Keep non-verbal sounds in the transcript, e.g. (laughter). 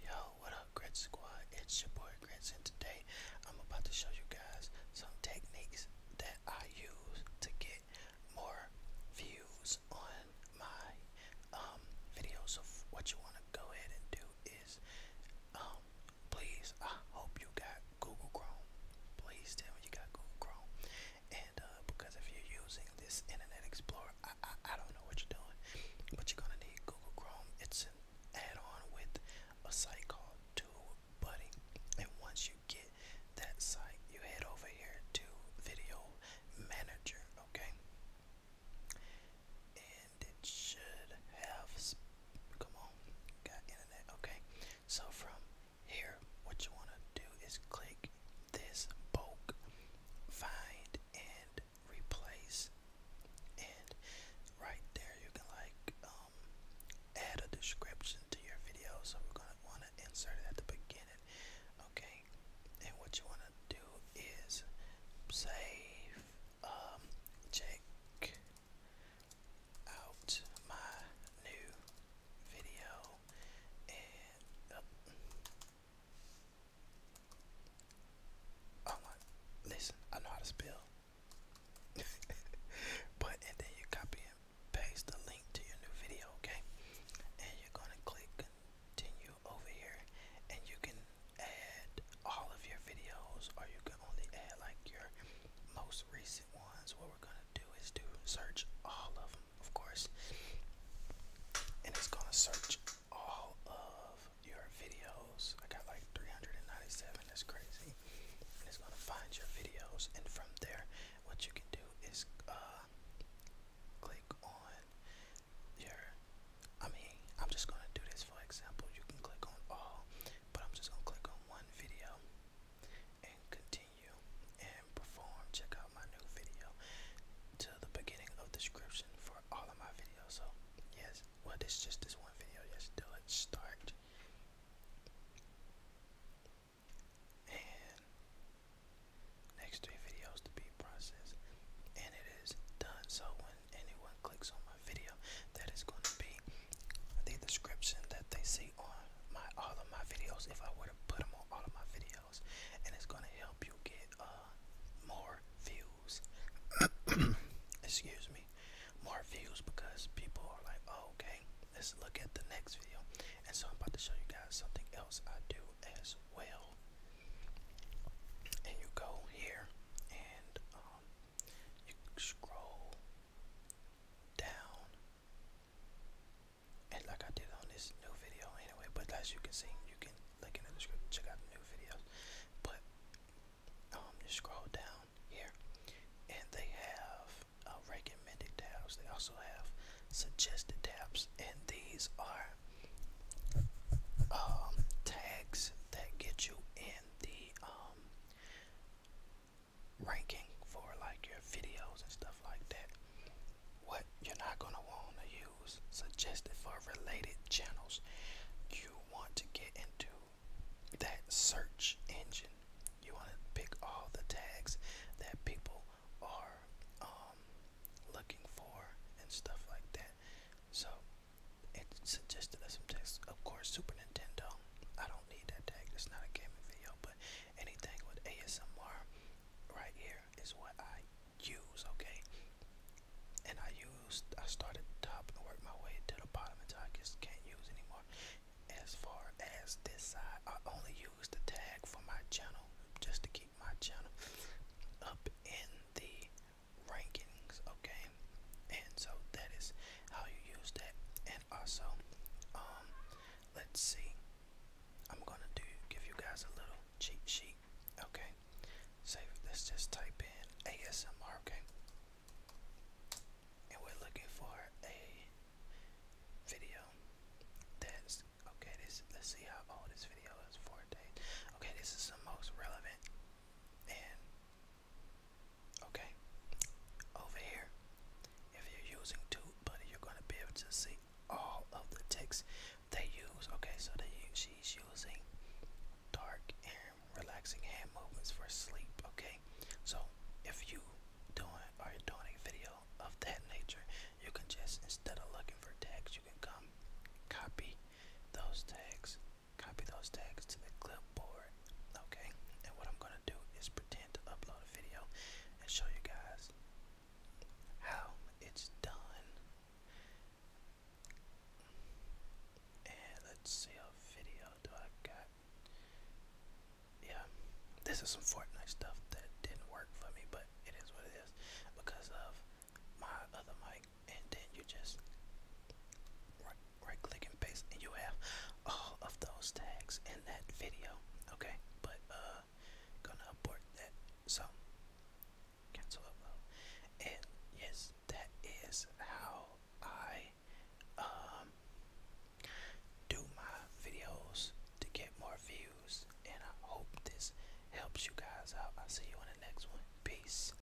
Yo, what up, Grit Squad? It's your boy Grits, today I'm about to show you guys some techniques that I use to get more views on my um, videos. video. So, what you want to go ahead and do is, um, please, I hope you got Google Chrome. Please tell me you got Google Chrome, and uh, because if you're using this Internet Explorer, I, I, don't know what you're doing, but you're gonna need Google Chrome. It's an add-on with a site called Buddy, and once you get that site, you head over here to Video Manager, okay? And it should have, come on, got internet, okay? So from here, what you wanna do is click this bulk, find and replace. And right there you can like um, add a description to your video. So we're gonna wanna insert it at the beginning. Okay. And what you wanna do is save um check out my new video and uh, listen, I know how to spell. (laughs) but and then you copy and paste the link to your new video, okay? And you're gonna click continue over here and you can add all of your videos or you can only add like your most recent ones. What we're gonna do is do search all of them of course, and it's gonna search all of your videos. I got like 397, that's crazy. And it's gonna find your videos, and from there, what you can do is uh, click on your. I mean, I'm just gonna do this for example. You can click on all, but I'm just gonna click on one video and continue and perform, check out my new video to the beginning of description for all of my videos. So yes, well this just this one video, yes, do it start. And next three videos to be processed. And it is done. So when anyone clicks on my video, that is going to be the description that they see on my all of my videos if I were to put them on all of my videos, and it's gonna help you get uh more views. (coughs) Excuse me, more views because people are like, oh, okay, let's look at the next video. And so I'm about to show you guys something else I do as well. And you go here and um, you scroll down and like I did on this new video anyway. But as you can see, you can look in the description, check out the new videos. But um, scroll down here, and they have uh, recommended tabs. They also have suggested tabs, and these are um, tags that get you in the um, ranking for like your videos and stuff like that. What you're not going to want to use suggested for related channels. You want to get into that search engine. You want to pick all the tags that people are um, looking for and stuff like that. So it suggested some text. Of course, Super Nintendo I don't need that tag. It's not a gaming video, but anything with ASMR right here is what I use, okay? And I used, I started top and work my way to the bottom until I just can't use anymore. As far as this side, I only use the tag for my channel just to keep my channel up in the rankings, okay? And so that is how you use that and also um let's see I'm gonna do give you guys a little cheat sheet okay so let's just type in ASMR okay and we're looking for a video that's okay this let's see how old this video is four days okay this is the most relevant and Okay, over here, if you're using TubeBuddy, you're gonna be able to see all of the tags they use. Okay, so she's using dark and relaxing hand movements for sleep. Okay, so if you doing are doing a video of that nature, you can just instead of looking for tags, you can come copy those tags Copy those tags to the clipboard. Okay, and what I'm gonna do is pretend to upload a video and show you guys how it's done. And let's see a video do I got. Yeah, this is some Fortnite stuff that didn't work for me, but it is what it is because of my other mic and then you just right, click and paste, and you have all of those tags in that video. Okay, but uh, gonna abort that. So cancel upload, and yes, that is how I um do my videos to get more views, and I hope this helps you guys out. I'll see you in the next one. Peace.